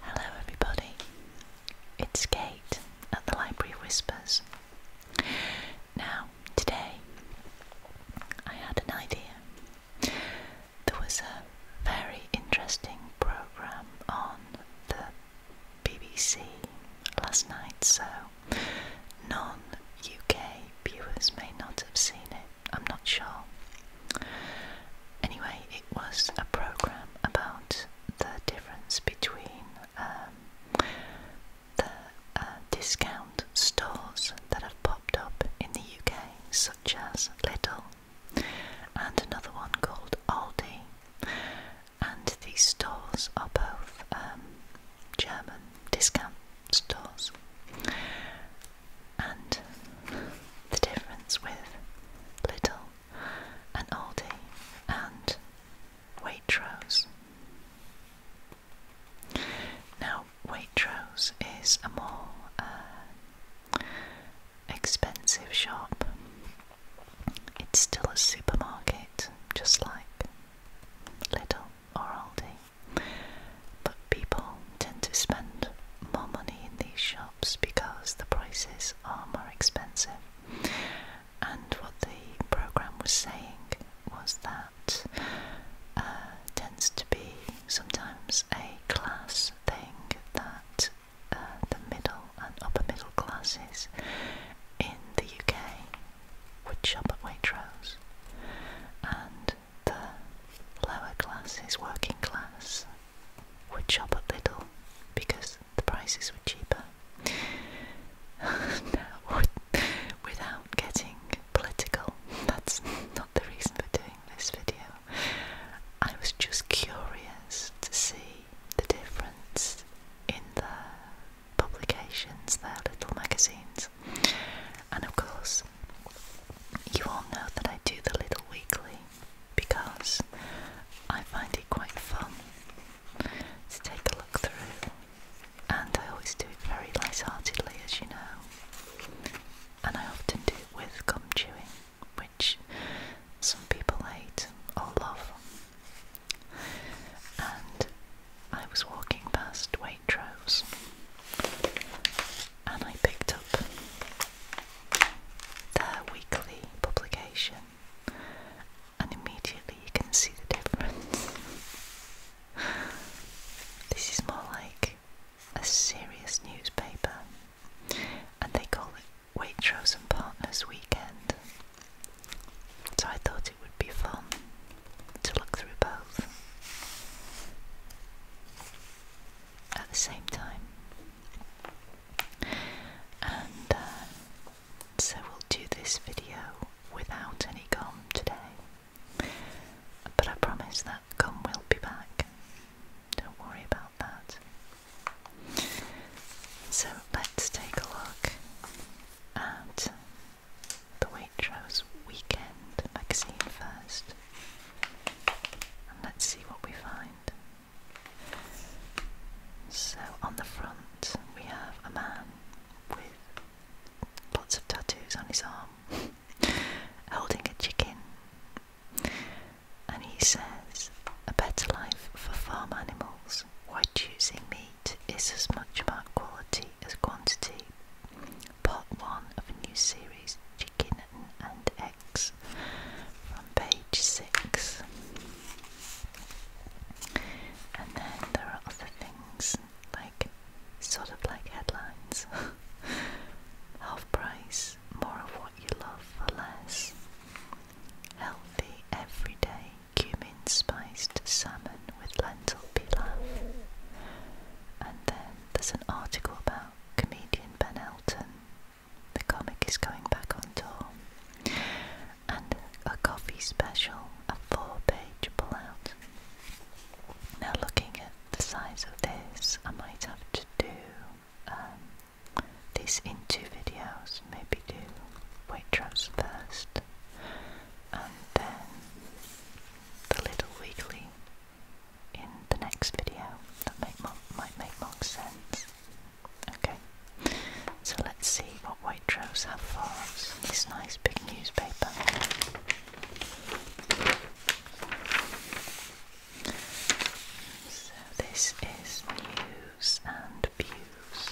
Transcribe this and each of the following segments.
Hello, everybody. It's Kate at the Library Whispers. Now, today I had an idea. There was a very interesting programme on the BBC last night, so non UK viewers may not have seen it. I'm not sure. Anyway, it was a program about the difference between um, the uh, discount stores that have popped up in the UK, such as Little, and another one called Aldi. And these stores are both um, German discount stores and the difference with Little and Aldi and Waitrose. Now, Waitrose is a more uh, expensive shop. It's still a supermarket, just like Little or Aldi, but people tend to spend more money in these shops because the prices are more expensive. And what the program was saying was that uh, tends to be sometimes a class thing that uh, the middle and upper middle classes in the UK would shop at Waitrose, and the lower classes, working class, would shop at little, because the prices were cheaper. now, without getting political, that's not the reason for doing this video. I was just curious to see the difference in the publications, their little magazines. And of course, you all know that I do the Little Weekly because I find it quite fun to take a look through, and I always do it very lightheartedly, as you know. And I often do it with gum chewing, which some people hate or love. And I was walking past Waitrose and I picked up their weekly publication, and immediately you can see the difference. this is more like a serious newspaper, and they call it Waitrose and Partners Weekend. So I thought it would be fun to look through both at the same time. And uh, so we'll do this video without any gum today. But I promise that gum will be back. Don't worry about that. So let's take a look at the Waitrose Weekend magazine first let's see what we find. So, on the front, we have a man with lots of tattoos on his arm, holding a chicken. And he says, A better life for farm animals. Why choosing meat is as much about quality as quantity. Part 1 of a new series, Chicken and X from page 6. And then there are other things like sort of like headlines half price, more of what you love for less, healthy everyday cumin spiced salmon with lentil pilaf. And then there's an article about comedian Ben Elton the comic is going back on tour, and a coffee special, a four page pullout. Now, looking at the size of this, I might have to do um, this in two videos, maybe do Waitrose first and then the little weekly in the next video that make might make more sense. Okay, so let's see what Waitrose have for us this nice big newspaper. So this is news and views.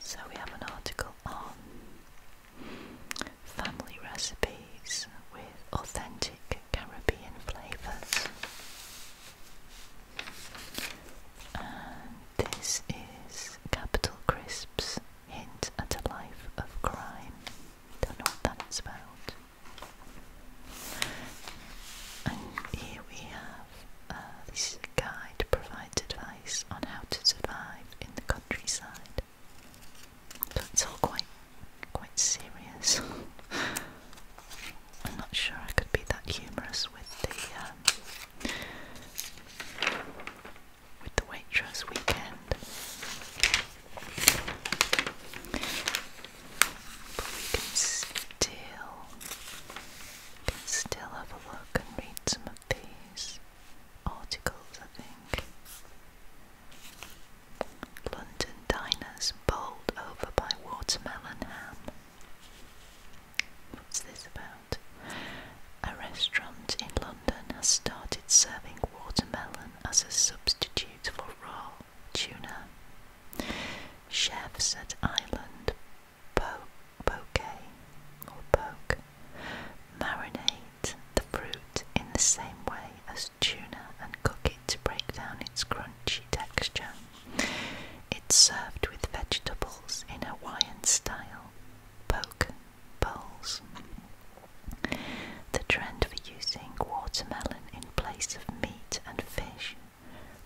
So we have an article on family recipes with authentic Caribbean flavours. this is Capital Crisps Hint at a Life of Crime. Don't know what that's about. And here we have uh, this guide provides advice on how to survive in the countryside. So it's all quite quite serious. I'm not sure I could be that humorous with the um, with the waitress weekend. But we can still can still have a look and read some of these articles, I think. London diners bowled over by watermelon ham. What's this about? A restaurant in London has started serving watermelon as a substitute for raw tuna. Chefs at Island Poke or Poke Marinate the fruit in the same way as tuna and cook it to break down its crunchy texture. It's served with vegetables in Hawaiian style poke bowls. The trend for using watermelon in place of meat and fish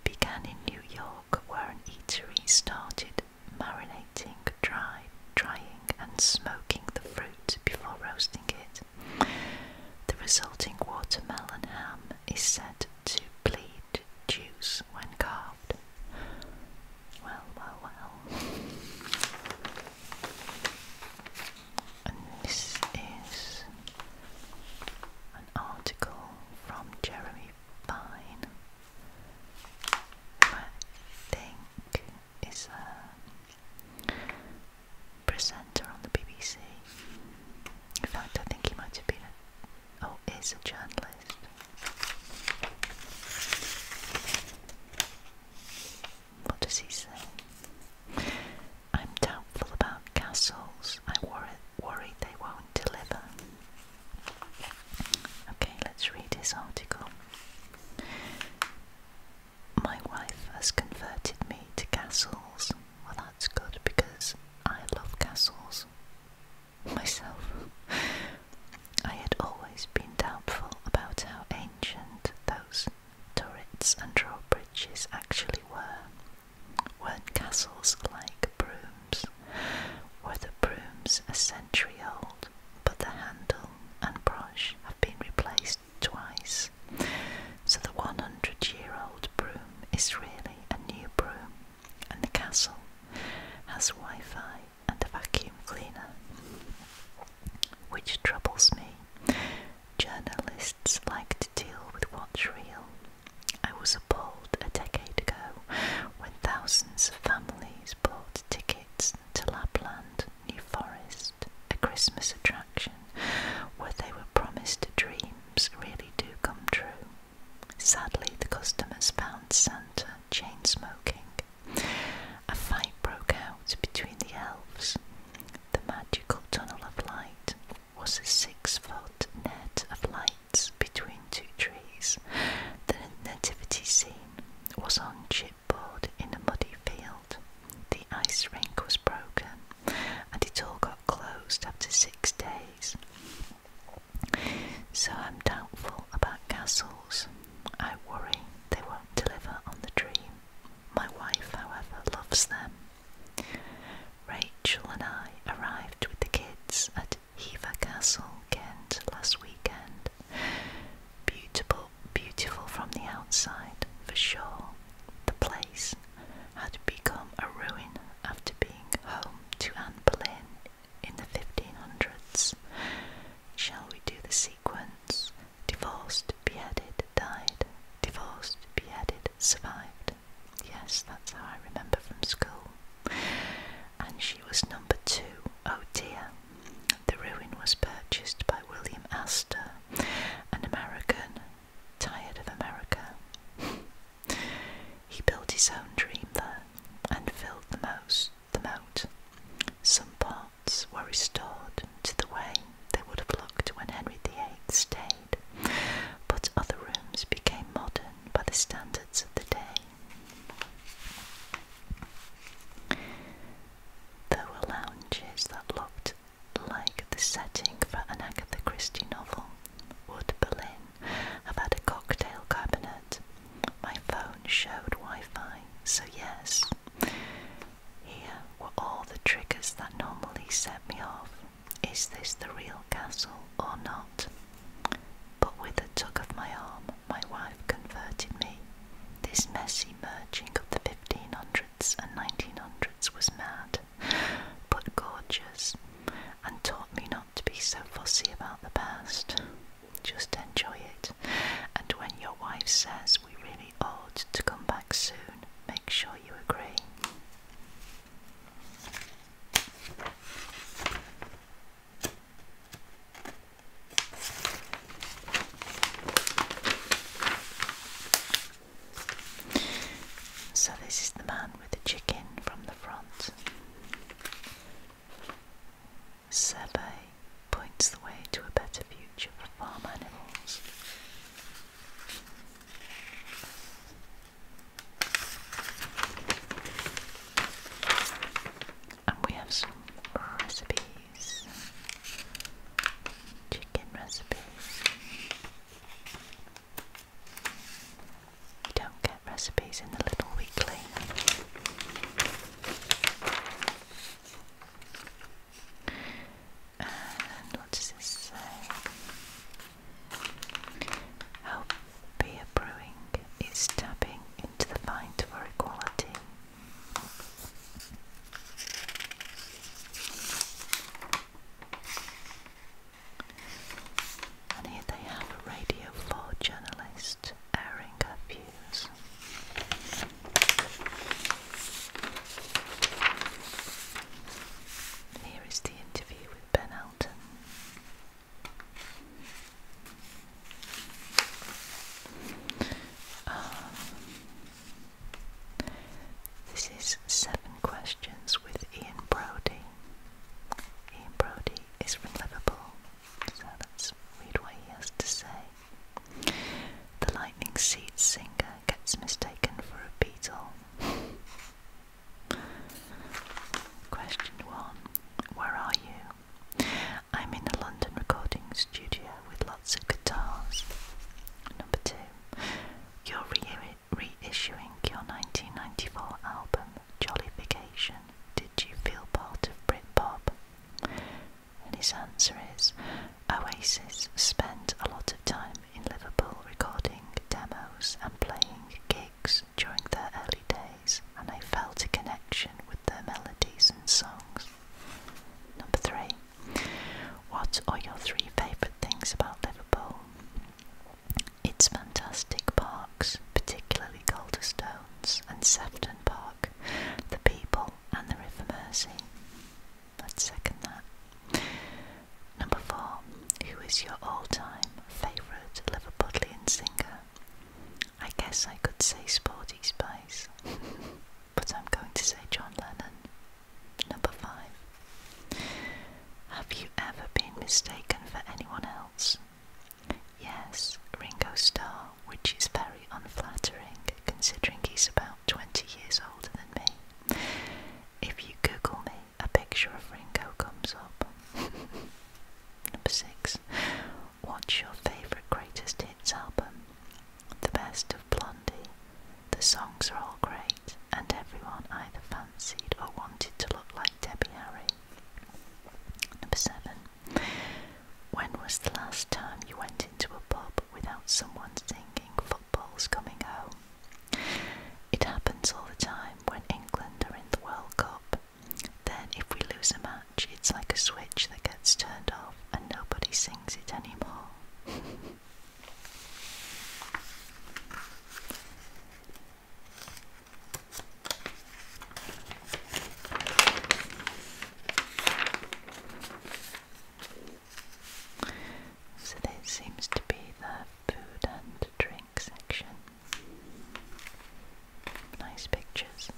began in New York, where an eatery started marinating, drying, and smoking the fruit before roasting it. The resulting watermelon ham is said to bleed juice when carved. Well, well, well. And this is an article from Jeremy Fine. I think is a uh, presenter on the BBC. In fact, I think he might have been oh, is a journalist. What does he say? I'm doubtful about castles. I worry, worry they won't deliver. Okay, let's read this article my wife has converted me to castles. Well, that's good because I love castles myself. I had always been doubtful about how ancient those turrets and drawbridges actually were. Weren't castles like brooms? Were the brooms a century old? but the handle and brush have been replaced twice. So the 100 year old broom is really a new broom, and the castle has Wi Fi and a vacuum cleaner. Which troubles me. Journalists like to deal with what's real. I was appalled a decade ago when thousands of families bought tickets to Lapland New Forest, a Christmas attraction where they were promised dreams really do come true. Sadly, the customers found Santa chain smoking. A fight broke out between the elves. The magical tunnel of light was a six foot net of lights between two trees. The nativity scene was on chip skateboard in a muddy field. The ice rink was broken and it all got closed after six days. So I'm doubtful about castles. I worry they won't deliver on the dream. My wife, however, loves them. Rachel and I arrived with the kids at Hever Castle, Kent, last weekend. Beautiful, beautiful from the outside, for sure, the place had become a ruin after being home to Anne Boleyn in the 1500s. Shall we do the sequence? Divorced, beheaded, died. Divorced, beheaded, survived. Yes, that's how I remember from school. And she was number two. Oh dear, the ruin was purchased by William Astor, an American tired of America. he built his own dream there and filled the, most, the moat. Some parts were restored to the way they would have looked when Henry VIII stayed, but other rooms became modern by the standards of the day. There were lounges that looked like the setting for an Agatha Christie novel. Would Berlin had a cocktail cabinet? My phone showed Wi Fi, so yes. Here were all the triggers that normally set me off. Is this the real castle or not? But with a tug of my arm, my wife converted me. This messy merging of the 1500s and 1900s was mad, but gorgeous, and taught me not to be so fussy about the past. Just enjoy it, and when your wife says we really ought to come back soon, make sure you agree. So, this is the man with the chicken from the front. Survey points the way to a better future for farm animals and we have some recipes, chicken recipes. You don't get recipes in the Little Weekly. And what does this say? How beer brewing is tapping into the fight for equality and here they have a Radio 4 journalist airing her views. Here is the interview with Ben Elton. Um, this is Seven Questions with Ian Brodie. Ian Brodie is from Liverpool, so that's us read what he has to say. The Lightning Seed singer gets mistaken for a beetle. Question one Where are you? I'm in a London recording studio with lots of guitars. Number two, you're re reissuing your 1994 album, Jollification. Did you feel part of Britpop? And his answer is Oasis spent a lot of time in Liverpool recording demos and playing gigs during their early days, and I felt a connection with their melodies and songs. Number three. What are your three favourite things about Liverpool? Its fantastic parks, particularly Calderstones and Sefton Park, the people and the River Mersey. That's second that. Number four. Who is your all-time favourite Liverpudlian singer? I guess I could say Sporty Spice. but I'm going to say John Lennon. Number five. Have you ever been mistaken for anyone else? Yes, Ringo Starr, which is very unflattering considering he's about 20 years older than me. If you Google me, a picture of Ringo comes up. Number six. What's your favourite greatest hits album? The best of Blondie. The songs are all great, and everyone either fancied or wanted to look like Debbie Harry. Number seven. When was the last time you went into a pub without someone singing football's coming home? It happens all the time when England are in the World Cup. Then, if we lose a match, it's like a switch that gets turned off and nobody sings it anymore. So, this seems to be the food and drink section. Nice pictures.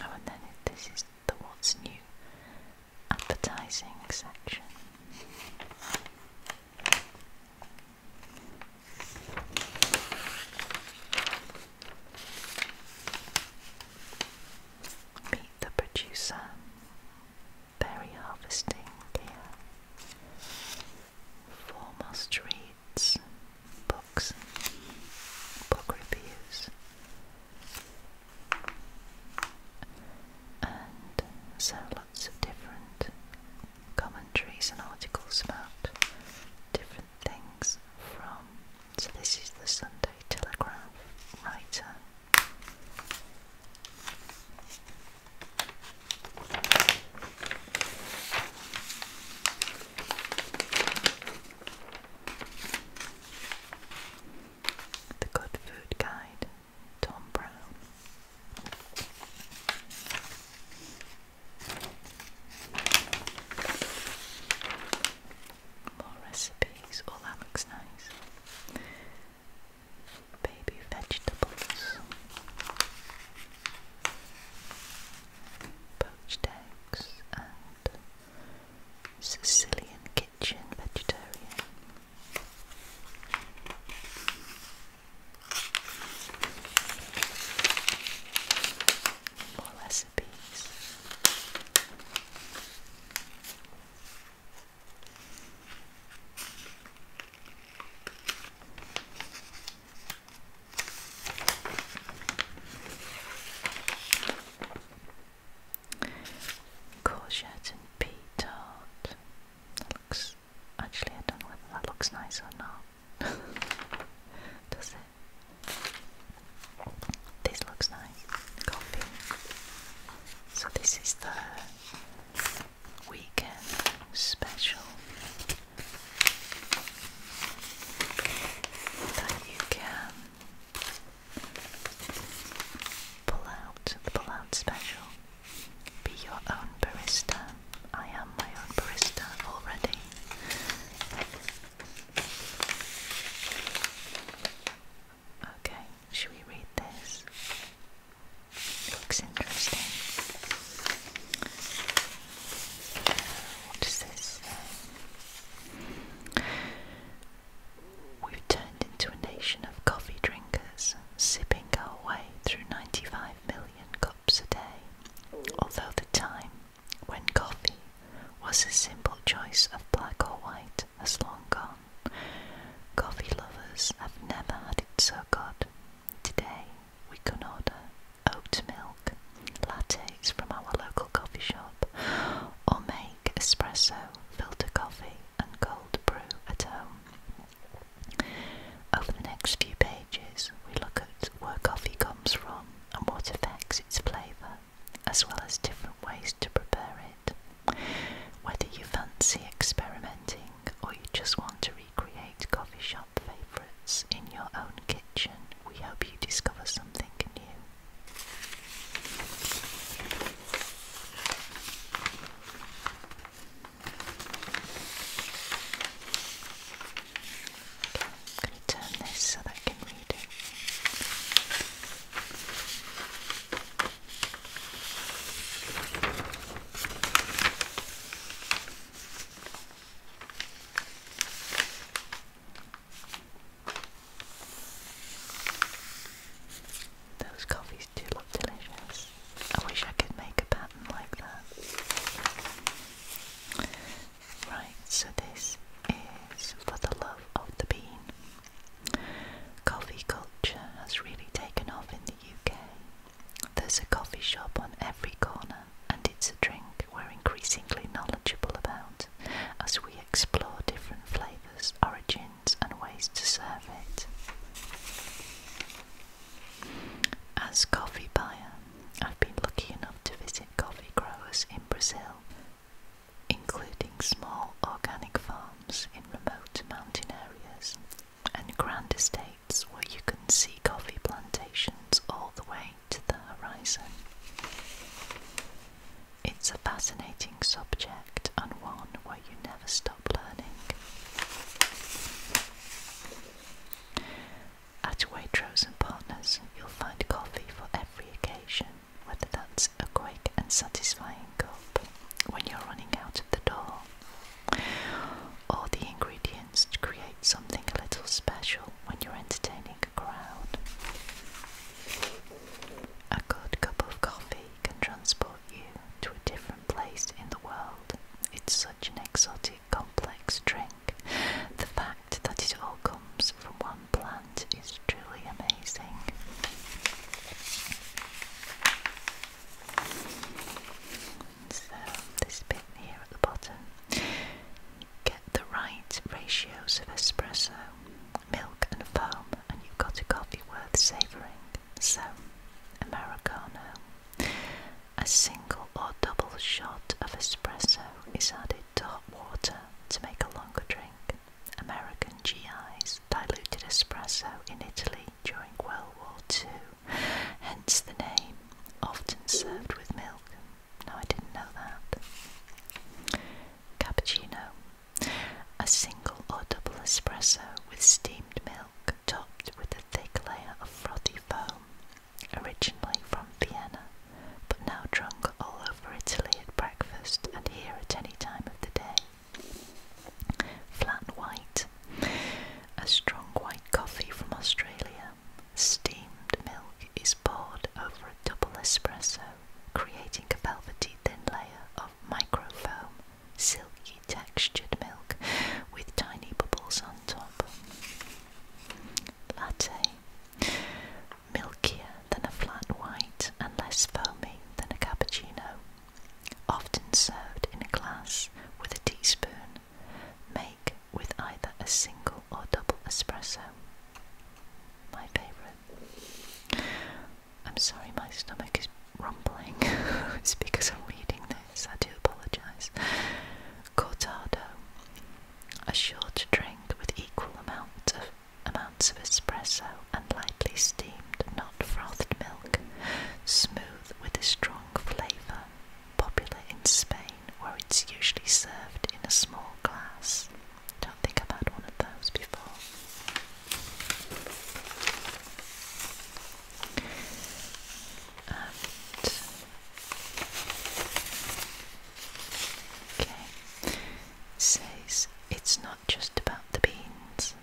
Oh, and then this is the What's New advertising section. Meet the producer. Berry harvesting gear formal streets, books, book reviews, and so lots of different commentaries and articles about different things from. So, this is the Sunday Telegraph writer. The Good Food Guide, Tom Brown. More recipes. Oh, that looks nice. Baby vegetables poached eggs and Sicilian kitchen vegetarian. recipes. Courgette and pea looks. Actually, I don't know whether that looks nice or not. Does it? This looks nice. Coffee. So, this is the weekend special that you can pull out the pull special. Be your own barista. I am my own barista already. Okay, should we read this? Looks interesting. what is this? We've turned into a nation of coffee drinkers, sipping our way through 95 million cups a day. Although the time when coffee was a simple choice of black or white has long gone, coffee lovers have never had it so good. Today, we can order oat milk lattes from our local coffee shop or make espresso, filter coffee, and cold brew at home. Over the next few pages, we look at where coffee comes from and what affects its flavour, as well as different ways to prepare it. Whether you fancy experimenting or you just want to recreate coffee shop favourites in your own kitchen, we hope you discover something new. Okay, I'm going to turn this so that I can read it. Those coffees do look delicious. I wish I could make a pattern like that. Right, so this is for the love of the bean. Coffee culture has really taken off in the UK there's a coffee shop on every corner, and it's a drink we're increasingly knowledgeable about as we explore different flavours, origins, and ways to serve it. As coffee buyer, I've been lucky enough to visit coffee growers in Brazil, including small organic farms in remote mountain areas and grand estates where you can see coffee plantations all the way to the horizon. It's a fascinating subject and one where you never stop learning. At Waitrose and Partners, you'll find coffee for every occasion, whether that's a quick and satisfying cup when you're running out of the door, all the ingredients to create something a little special when you're entertaining a crowd. A good cup of coffee can transport you to a different place in the world. It's such an exotic, complex drink. The fact that it all comes from one plant is truly amazing this bit here at the bottom. Get the right ratios of espresso, milk, and foam, and you've got a coffee worth savouring. So, Americano. A single or double shot of espresso is added to hot water to make a longer drink. American GIs diluted espresso in Italy during World War II hence the name, often served with milk. No, I didn't know that. Cappuccino, a single or double espresso with steamed milk topped with a thick layer of frothy foam, originally from Vienna, but now drunk all over Italy at breakfast and here at any time of the day. Flat white, a strong white coffee from Australia, steamed milk is poured over a double espresso, creating a velvety thin layer of microfoam, silky textured milk with tiny bubbles on top. Latte. Milkier than a flat white and less foamy than a cappuccino. Often served in a glass with a teaspoon, may with either a single or double espresso. My favourite. I'm sorry, my stomach is rumbling. because I'm reading this. I do apologise. Cortado, a short drink with equal amount of amounts of espresso and lightly steamed, not frothed milk, smooth with a strong flavour, popular in Spain where it's usually served in a small glass. Don't think I've had one of those before. okay, says it's not just about the beans.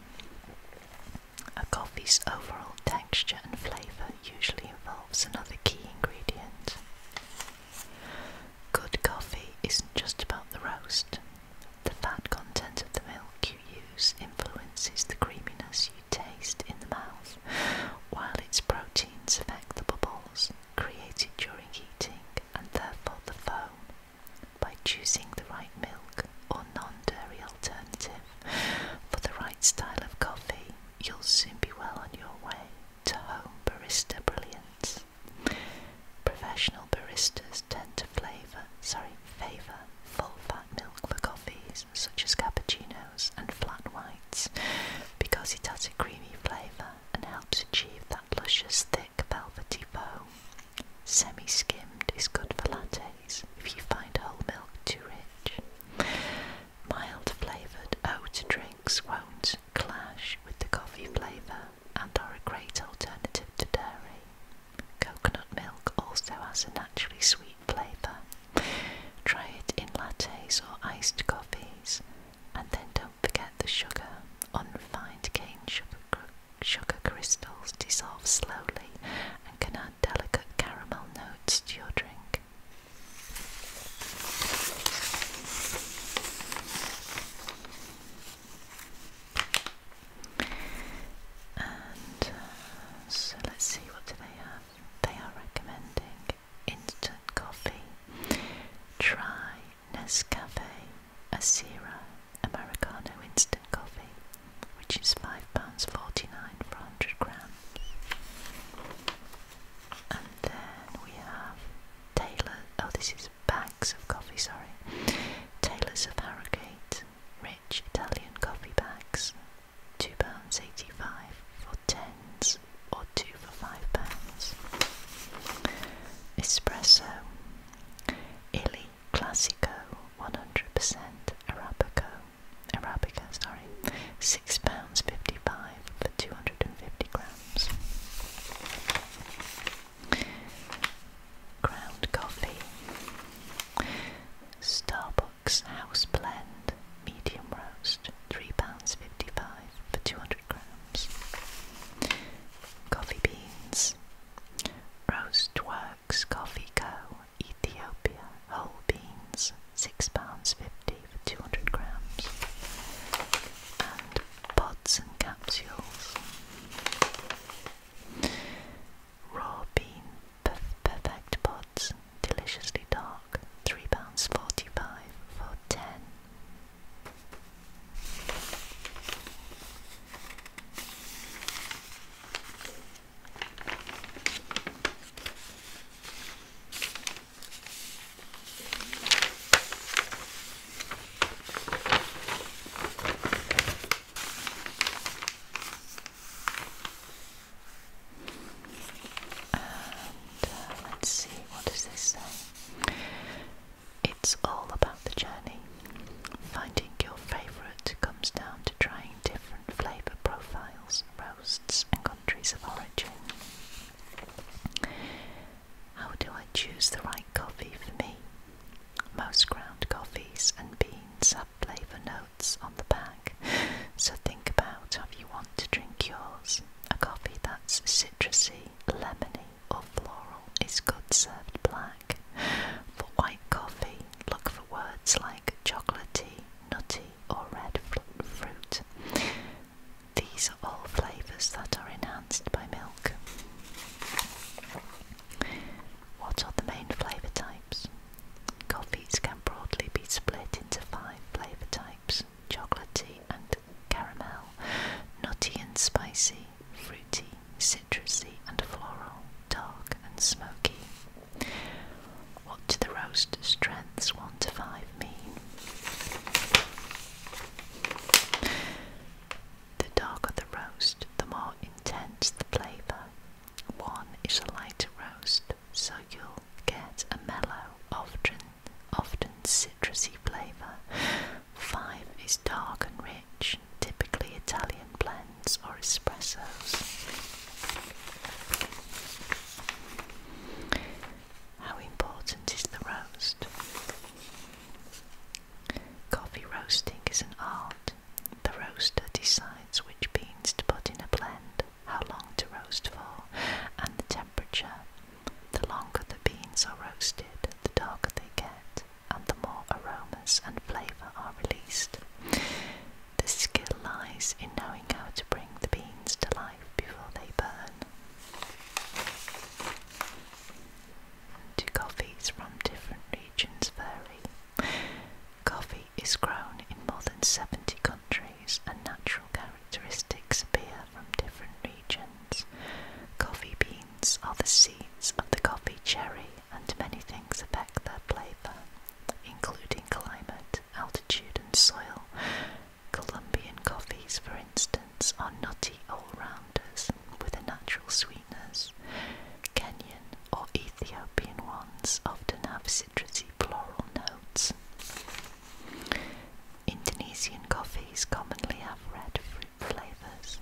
A coffee's overall texture and flavour usually involves another key ingredient. Good coffee isn't just about the roast. The fat content of the milk you use influences the creaminess you taste in the mouth, while its proteins affect the bubbles created during heating and therefore the foam. By choosing the right milk or non dairy alternative for the right style of coffee, you'll soon be well on your way to home barista brilliance. Professional baristas tend to flavor, sorry, favor full-fat milk for coffees such as cappuccinos and flat whites because it has a creamy flavor and helps achieve that luscious, thick, velvety foam. Semi-skimmed is good for lattes if you find whole milk too rich. Mild flavoured oat drinks won't clash with the coffee flavour and are a great alternative to dairy. Coconut milk also has a naturally sweet flavour. Try it in lattes or iced coffees, and then don't forget the sugar. Unrefined cane sugar, sugar crystals dissolve slowly and can add delicate caramel notes to your drink. Uh, so let's see what do they have. They are recommending instant coffee. Try Nescafe Asira Americano instant coffee, which is £5.49 for 100 grams. And then we have Taylor. Oh, this is bags of coffee. Sorry, Taylor's of Harrogate, rich Italian coffee bags, two pounds eighty-five for tens, or two for five pounds. Espresso, Illy Classico, one hundred percent Arabico, Arabica, sorry, £6.55 for 250 grams. Ground coffee. Starbucks House Blend, medium roast, £3.55 for 200 grams. Coffee beans. Roast Works Coffee Co. Ethiopia whole beans, £6.50 for 200 grams, and pods and capsules. Raw bean perfect pods, deliciously dark, £3.45 for 10. Uh, let's see, what does this say? It's all about the journey. Finding your favourite comes down to trying different flavour profiles, roasts, and countries of origin. How do I choose the right coffee for me? Most ground coffees and beans have flavour notes on the back, so think about how you want to drink yours. A coffee that's citrusy, lemony, or floral is good served black. For white coffee, look for words like chocolatey, nutty or red fruit. These are all flavours that are enhanced by milk. What are the main flavour types? Coffees can broadly be split into five flavour types chocolatey and caramel, nutty and spicy, fruity, citrusy and floral, dark and smoky. What do the roast strengths 1 to 5 mean? The darker the roast, the more intense the flavour. 1 is a lighter roast, so you'll get a mellow, often, often citrusy flavour. 5 is dark and rich, typically Italian blends or espressos. How important is the roast? Coffee roasting is an art. The roaster decides which beans to put in a blend, how long to roast for, and the temperature. The longer the beans are roasted, the darker they get, and the more aromas and flavour are released. The skill lies in knowing how to bring the beans to life before they burn. Do coffees from different regions vary? Coffee is grown in more than 70 countries and natural characteristics appear from different regions. Coffee beans are the seeds of the coffee cherry and many things affect their flavour, including climate altitude and soil. Colombian coffees, for instance, are nutty all-rounders with a natural sweetness. Kenyan or Ethiopian ones often have citrusy floral notes. Indonesian coffees commonly have red fruit flavours.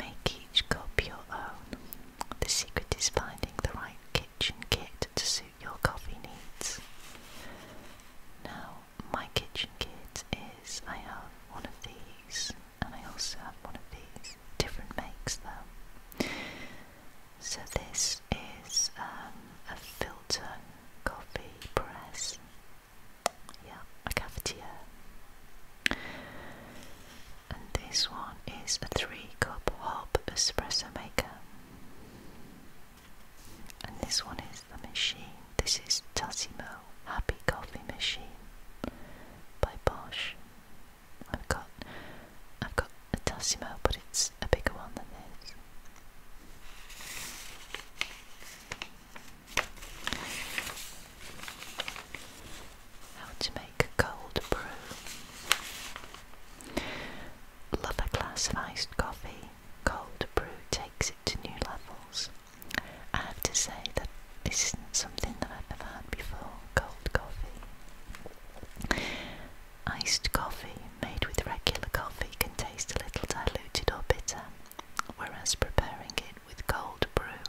Make each cup your own. The secret is finding the right kitchen kit to suit your coffee needs. Now, my kitchen kit is I have one of these, and I also have one of these. Different makes though. So, this is um, a filter coffee press. Yeah, a cafetiere. And this one is a three cup hob espresso maker. And this one is the machine. This is Tassimo Happy Coffee Machine by Bosch. I've got I've got a Tassimo but it's a bigger one than this. How to make a cold brew. Love a glass of iced coffee. Cold brew takes it to new levels. I have to say that this is something that I've ever had before. Cold coffee. Iced coffee made with regular coffee can taste a little diluted or bitter whereas preparing it with cold brew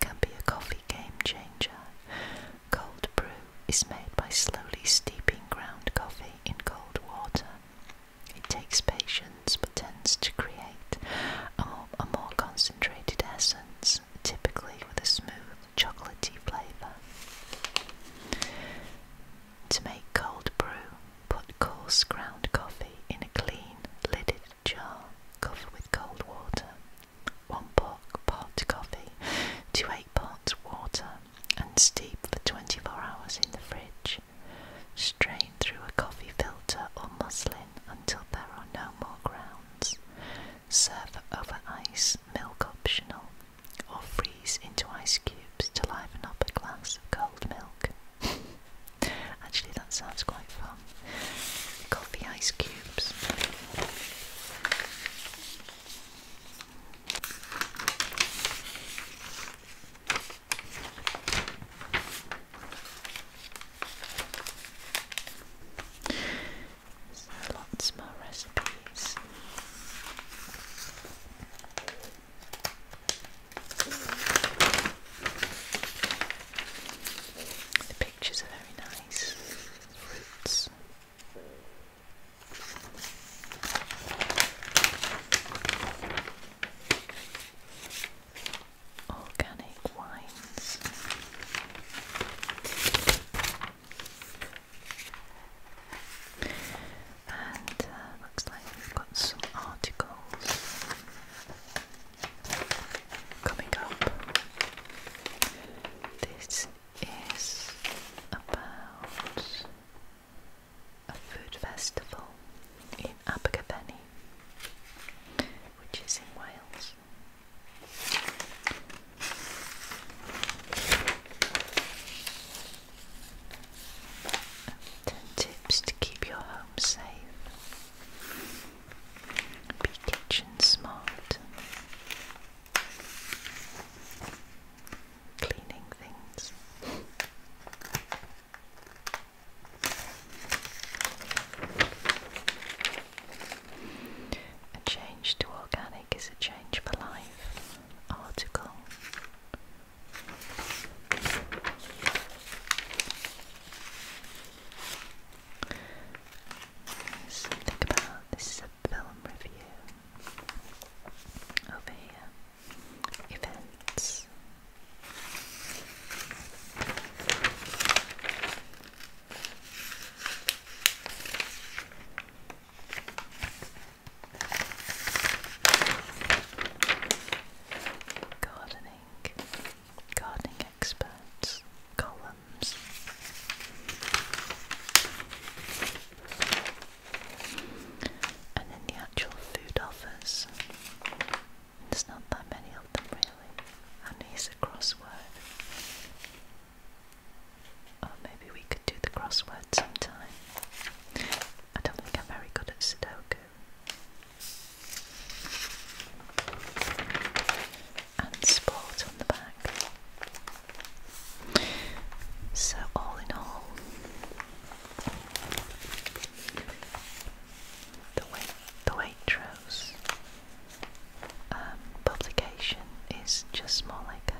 can be a coffee game changer. Cold brew is made by slowly steeping ground coffee in cold water. It takes patience but tends to create a more, concentrated essence, typically with a smooth chocolatey flavour. To make cold brew, put coarse ground coffee in a clean, lidded jar, cover with cold water, 1 pot coffee to 8 parts water, and steep for 24 hours in the fridge. Strain through a coffee filter or muslin until there are no more grounds. Serve over ice, milk optional, or freeze into ice cubes to liven up a glass of cold milk. Actually, that sounds quite fun. Coffee ice cubes. So lots more recipes. The pictures are very nice. Organic wines. And uh, looks like we've got some articles coming up. This is about a food festival in Abergavenny, which is in Wales. 10 tips to keep your home safe. Be kitchen smart. Cleaning things. A change to organic is a change for life. Article so think about this is a film review over here. Events gardening, gardening experts, columns. And then the actual food offers. There's not that many of them really. And here's a crossword. Oh, maybe we could do the crossword sometime. I don't think I'm very good at Sudoku and sport on the back. So, all in all, the, way the way um, publication is just more like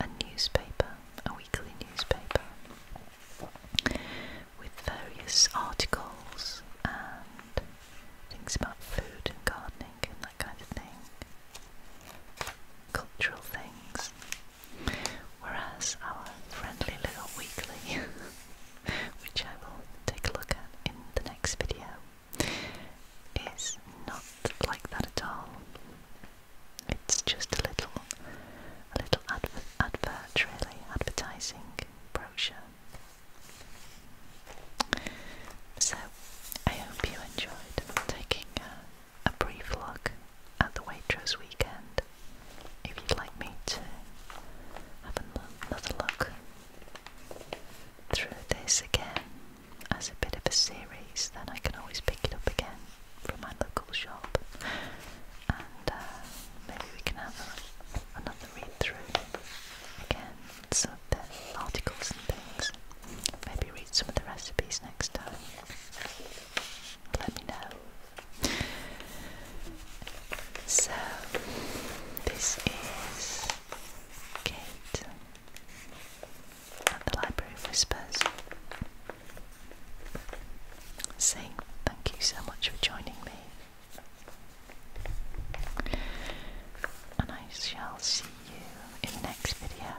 a, a newspaper, a weekly newspaper with various articles and things about food and gardening and that kind of thing, cultural things. Whereas our friendly little weekly, which I will take a look at in the next video, is not like that at all. It's just a little, a little advert, really, advertising brochure. So I hope you enjoyed taking a, a brief look at the Waitrose weekend. If you'd like me to have another look through this again as a bit of a series, then I can always pick it up again from my local shop and uh, maybe we can have another read through again, some of articles and things. Maybe read some of the recipes next time. Let me know. So, this is Kate at the Library Whispers saying thank you so much for joining me. And I shall see you in next video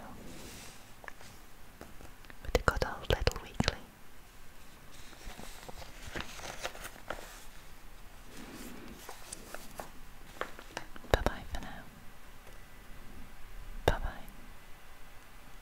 with the good old Little Weekly. Bye bye for now. Bye bye.